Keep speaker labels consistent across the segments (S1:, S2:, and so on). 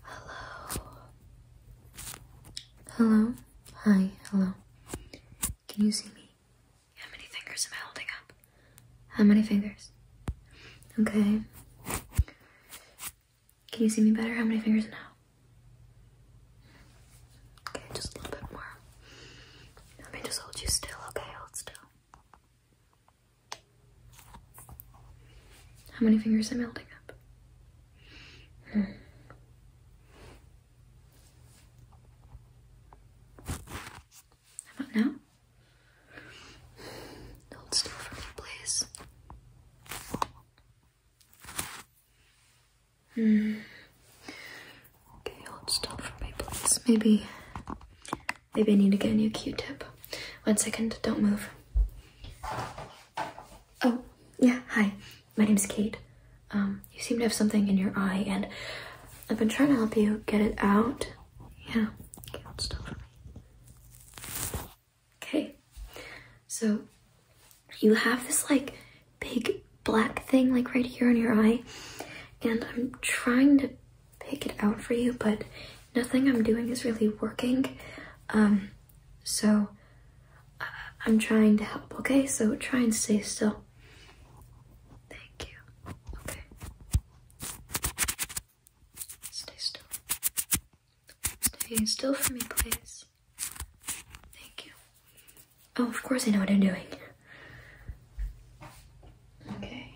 S1: Hello. Hello. Hi. Hello. Can you see me? How many fingers am I holding up? How many fingers? Okay. Can you see me better? How many fingers now? Okay, just a little bit more. Let me just hold you still, okay? Hold still. How many fingers am I holding up? Hmm. How about now? Hold still for me, please. Hmm. Okay, hold still for me, please. Maybe, maybe I need to get a new Q-tip. One second, don't move. Oh, yeah, hi. My name is Kate. Um, you seem to have something in your eye, and I've been trying to help you get it out. Yeah, Okay, so you have this like big black thing like right here in your eye, and I'm trying to pick it out for you, but nothing I'm doing is really working. Um, so uh, I'm trying to help, okay? So try and stay still. Thank you. Okay. Stay still. Stay still for me, please. Thank you. Oh, of course I know what I'm doing. Okay.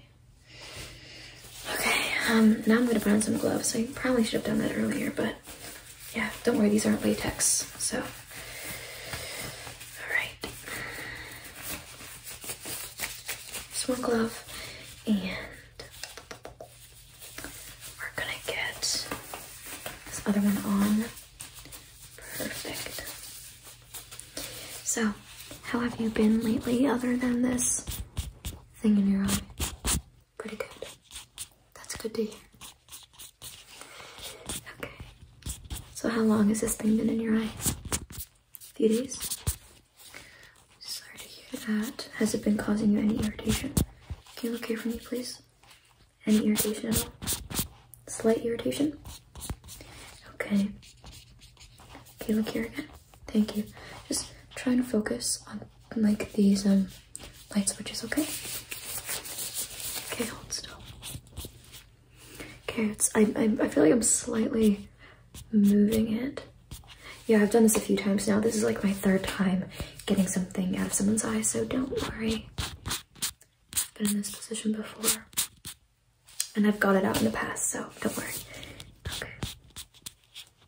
S1: Okay, um, now I'm gonna put on some gloves. I probably should have done that earlier, but yeah, don't worry, these aren't latex, so. All right. Just glove, and we're gonna get this other one on. Perfect. So, how have you been lately other than this thing in your eye. Pretty good. That's good to hear. Okay. So how long has this thing been in your eye? A few days? Sorry to hear that. Has it been causing you any irritation? Can you look here for me, please? Any irritation at all? Slight irritation? Okay. Can you look here Thank you. Just try and focus on like these um light switches, okay? Okay, hold still. Okay, I I, I feel like I'm slightly moving it. Yeah, I've done this a few times now. This is like my third time getting something out of someone's eye, so don't worry. I've been in this position before. And I've got it out in the past, so don't worry. Okay.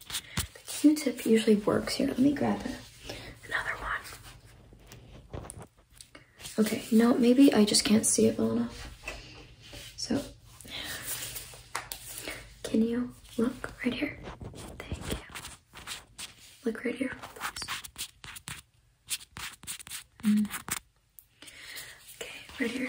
S1: The Q-tip usually works. Here, let me grab another one. Okay, no, maybe I just can't see it well enough. So, can you look right here? Thank you. Look right here, please. Mm. Okay, right here.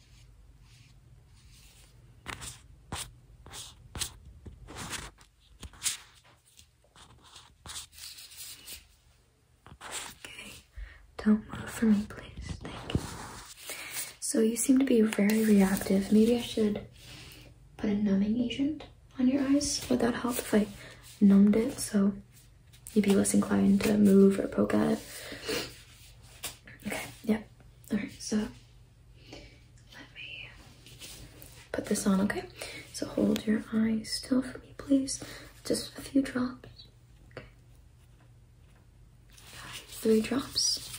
S1: Okay, don't move for me, please. Thank you. So you seem to be very reactive. Maybe I should put a numbing agent on your eyes. Would that help if I numbed it so you'd be less inclined to move or poke at it? Okay, Yep. Alright, so let me put this on, okay? So hold your eyes still for me, please. Just a few drops. Okay. Three drops.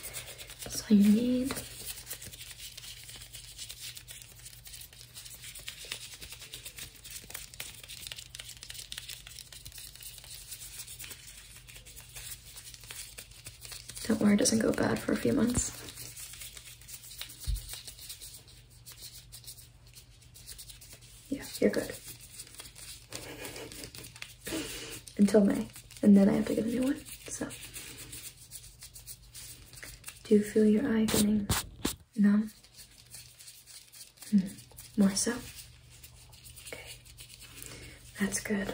S1: That's all you need. Don't worry, doesn't go bad for a few months. Yeah, you're good. Until May. And then I have to get a new one, so. Do you feel your eye getting numb? more so? Okay. That's good.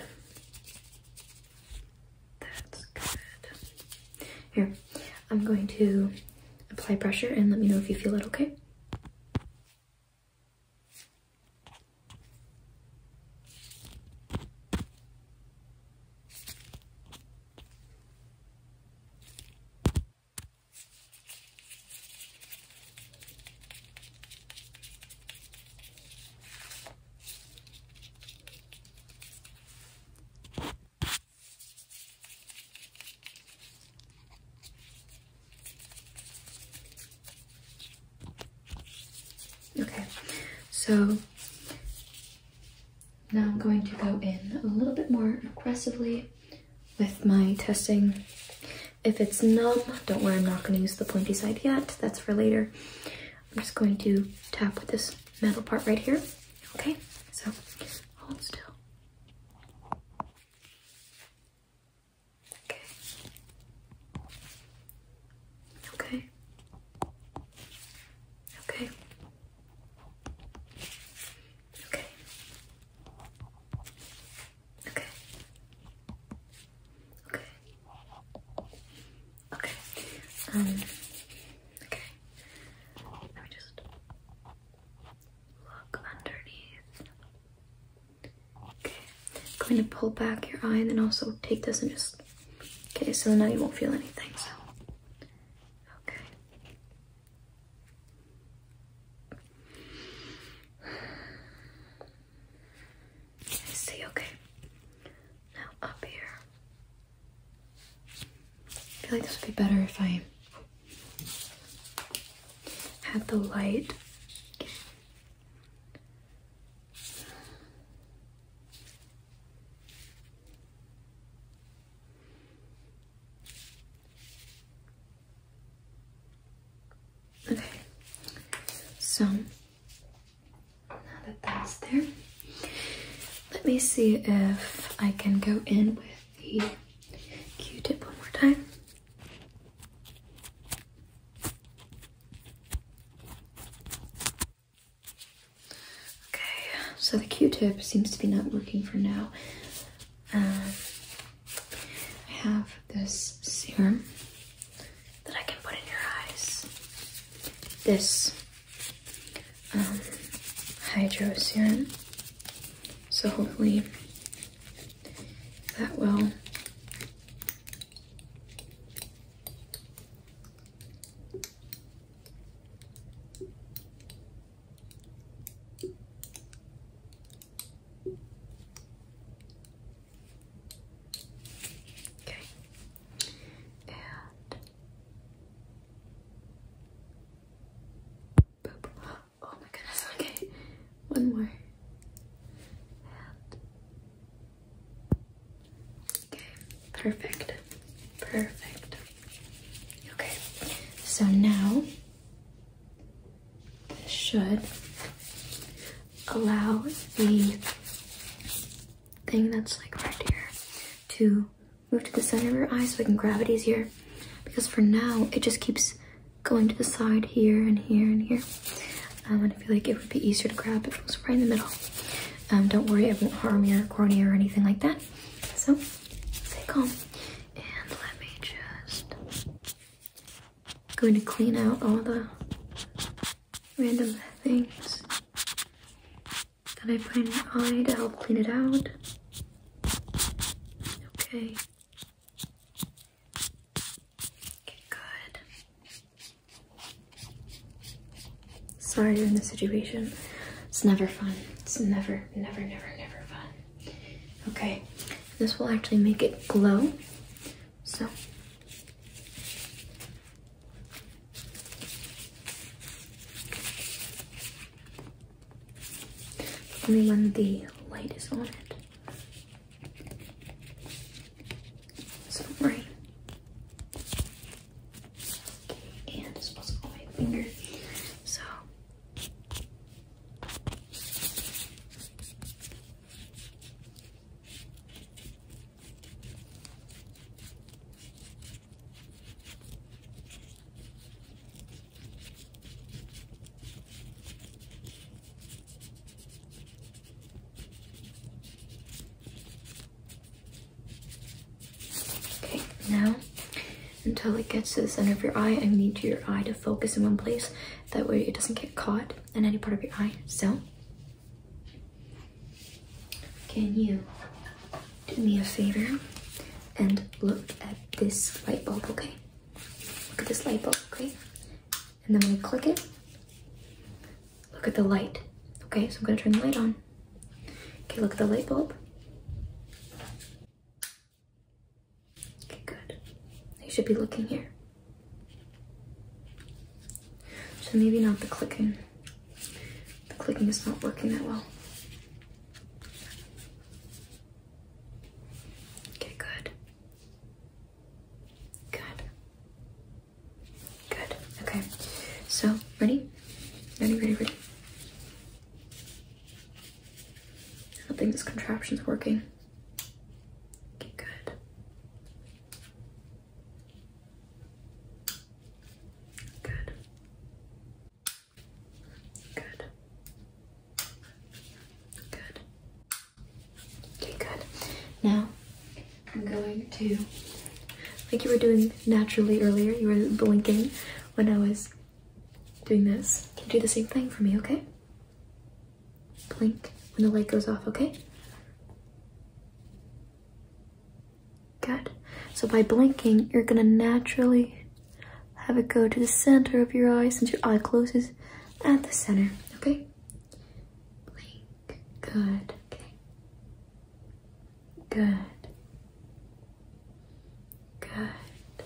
S1: That's good. Here, I'm going to apply pressure and let me know if you feel it, okay? Okay, so now I'm going to go in a little bit more aggressively with my testing. If it's numb, don't worry, I'm not going to use the pointy side yet. That's for later. I'm just going to tap with this metal part right here. Okay, so hold still. Okay. Okay. Okay. Okay. Okay. Okay. Okay. Um, okay. Let me just look underneath. Okay. going to pull back your eye and then also take this and just. Okay, so now you won't feel anything. So. Okay. I see, okay. Now up here. I feel like this would be better if I had the light. Okay, so now that that's there, let me see if I can go in with the q tip one more time. Okay, so the q tip seems to be not working for now. Um, I have this serum that I can put in your eyes. This um, hydro serum. So hopefully that will Okay, and Oh my goodness, okay, one more. And okay, perfect, perfect. Okay, so now this should allow the thing that's like right here to move to the center of your eye so we can grab it easier because for now it just keeps going to the side here and here and here um, and I feel like it would be easier to grab if it was right in the middle. Um, don't worry, it won't harm your cornea or anything like that. So stay calm and let me just going to clean out all the random things that I find. in my eye to help clean it out. Okay. Okay, good. Sorry you're in this situation. It's never fun. It's never, never, never, never fun. Okay, this will actually make it glow. So, only when the light is on it. Sorry. and it's supposed to go my finger. So Okay, now until it gets to the center of your eye, I need your eye to focus in one place that way it doesn't get caught in any part of your eye. So, can you do me a favor and look at this light bulb, okay? Look at this light bulb, okay? And then when we click it, look at the light. Okay, so I'm gonna turn the light on. Okay, look at the light bulb. Okay, good. They should be looking here. So maybe not the clicking. The clicking is not working that well. Okay, good. Good. Good. Okay. So, ready? Ready, ready, ready. I don't think this contraption's working. good. Good. Good. Good. Okay, good. Now, I'm going to, like you were doing naturally earlier, you were blinking when I was doing this. Can do the same thing for me, okay? Blink when the light goes off, okay? Good. So by blinking, you're gonna naturally have it go to the center of your eyes since your eye closes at the center, okay? Blink. Good. Good. Good.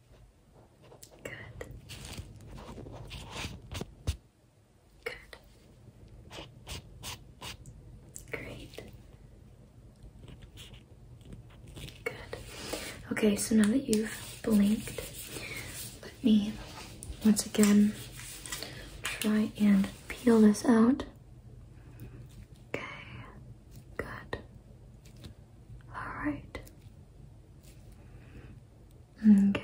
S1: Good. Good. Great. Good. Okay, so now that you've blinked, let me once again try and peel this out. Okay, good. All right. Okay.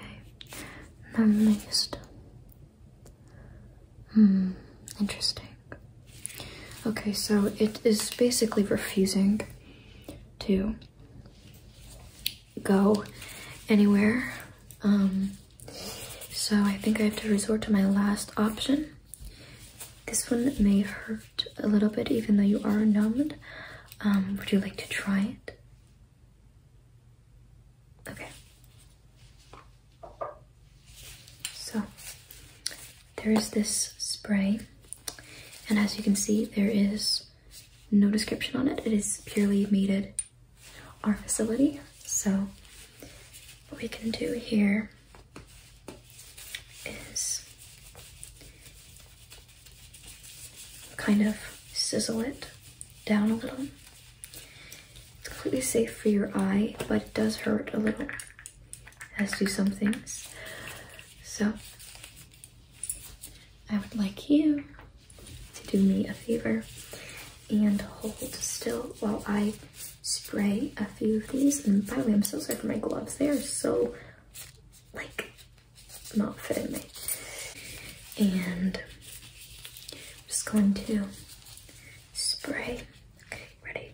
S1: None least. Hmm. Interesting. Okay, so it is basically refusing to go anywhere. Um, so I think I have to resort to my last option. This one may hurt a little bit even though you are numbed. Um, would you like to try it? Okay. So there is this spray, and as you can see, there is no description on it. It is purely made at our facility. So what we can do here is kind of sizzle it down a little. It's completely safe for your eye, but it does hurt a little, as do some things. So, I would like you to do me a favor and hold still while I spray a few of these. And by the way, I'm so sorry for my gloves. They are so, like, not fitting me, And I'm just going to spray. Okay, ready?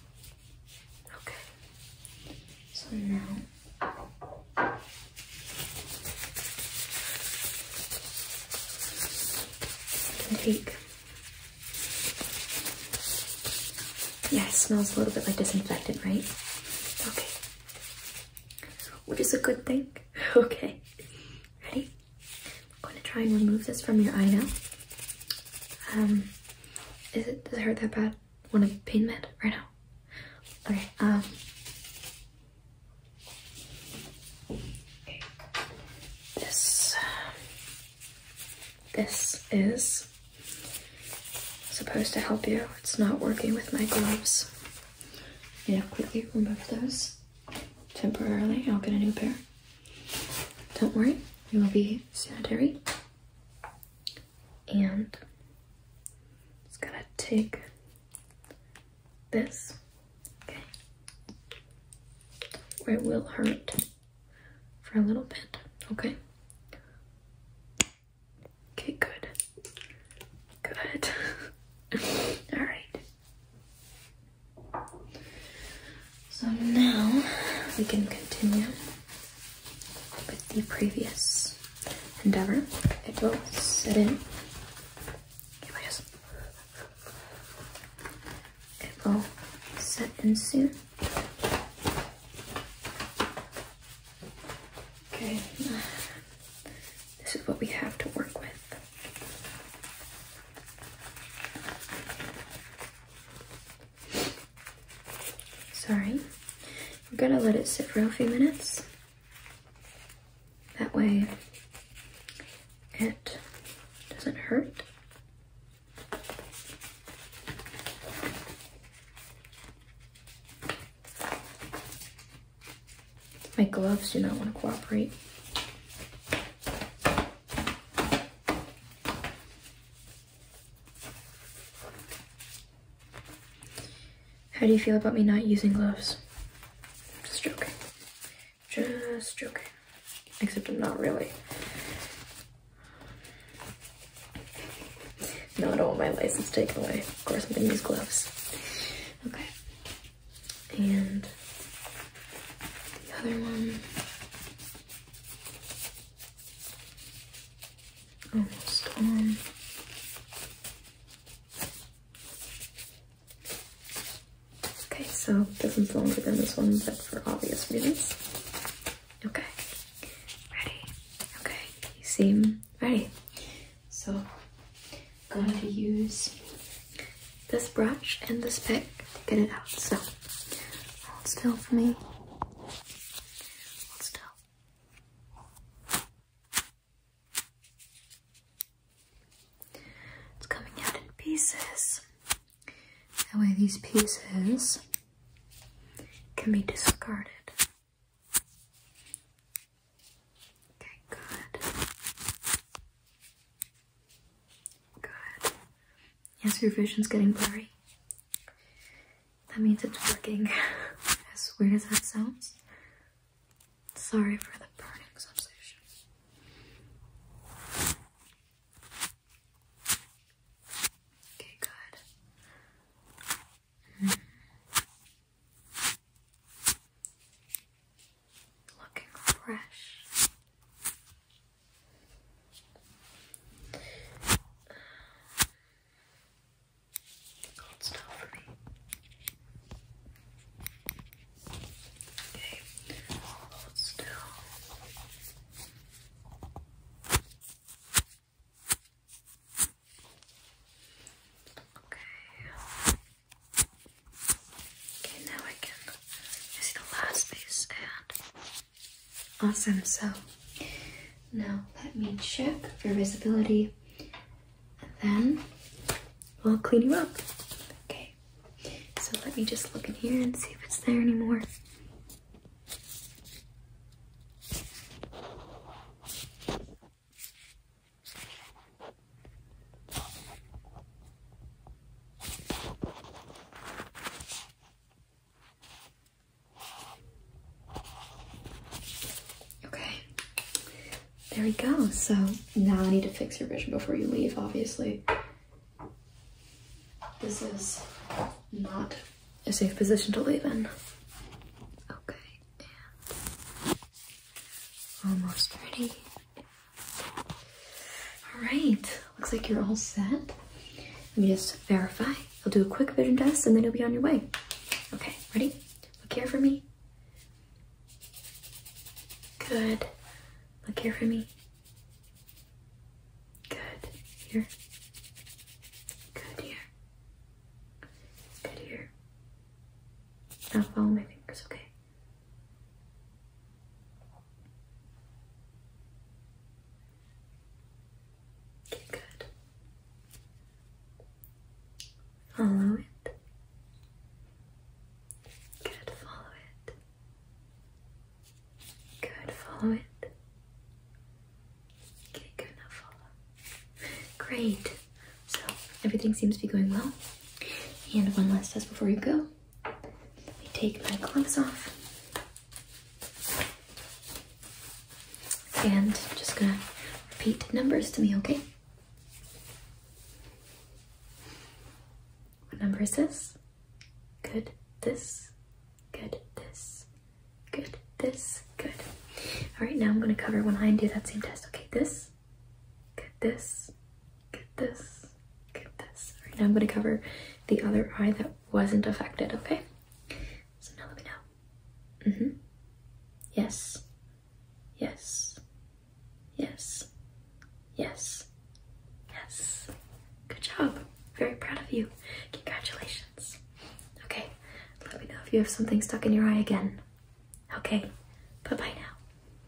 S1: Okay, so now take. Yeah, it smells a little bit like disinfectant, right? Okay. Which is a good thing. Okay. Ready? I'm going to try and remove this from your eye now. Um, is it, does it hurt that bad? Want a pain med right now? Okay, um. Okay. This, this is supposed to help you. It's not working with my gloves. to quickly remove those temporarily. I'll get a new pair. Don't worry, we will be sanitary. And it's going to take this. Okay. Where it will hurt for a little bit. Okay. Okay, good. Good. Alright. So now we can continue with the previous endeavor. It will sit in. It will set in soon. Okay, this is what we have to work with. Sorry. We're gonna let it sit for a few minutes. That way it doesn't hurt. My gloves do not want to cooperate. How do you feel about me not using gloves? Just joking. Just joking. Except I'm not really. No, I don't want my license taken away. Of course, I'm gonna use gloves. Okay. And the other one almost on. Okay, so this one's longer than this one, but for obvious reasons. Okay, ready? Okay, you seem ready. So, going to use this brush and this pick to get it out. So, hold still for me. Hold still. It's coming out in pieces. That way these pieces can be discarded. Okay, good. Good. Yes, your vision's getting blurry. That means it's working. as weird as that sounds. Sorry for the burning sensation. Okay, good. Hmm looking fresh. Hold still for me. Okay. Okay, now I can see the last piece and awesome. So now let me check for visibility and then we'll clean you up. Okay, so let me just look in here and see if it's there anymore. Okay, there we go. So now I need to fix your vision before you leave, obviously. This is not a safe position to leave in. Okay, and almost ready. All right, looks like you're all set. Let me just verify. I'll do a quick vision test and then you'll be on your way. Okay, ready? Look here for me. Good. Look here for me. Good. Here. Good here. Good here. Now follow my fingers, okay? good. Follow it. Good, follow it. Good, follow it. Okay, good, now follow. Great. So, everything seems to be going well. And one last test before you go. Let me take my gloves off. And I'm just gonna repeat numbers to me, okay? What number is this? Good, this, good, this, good, this, good. All right, now I'm gonna cover when I do that same test. Okay, this, get this, get this, get this. All right, now I'm gonna cover the other eye that wasn't affected, okay? So now let me know. Mm-hmm. Yes. Yes. Yes. Yes. Yes. Good job. Very proud of you. Congratulations. Okay, let me know if you have something stuck in your eye again. Okay, bye-bye now.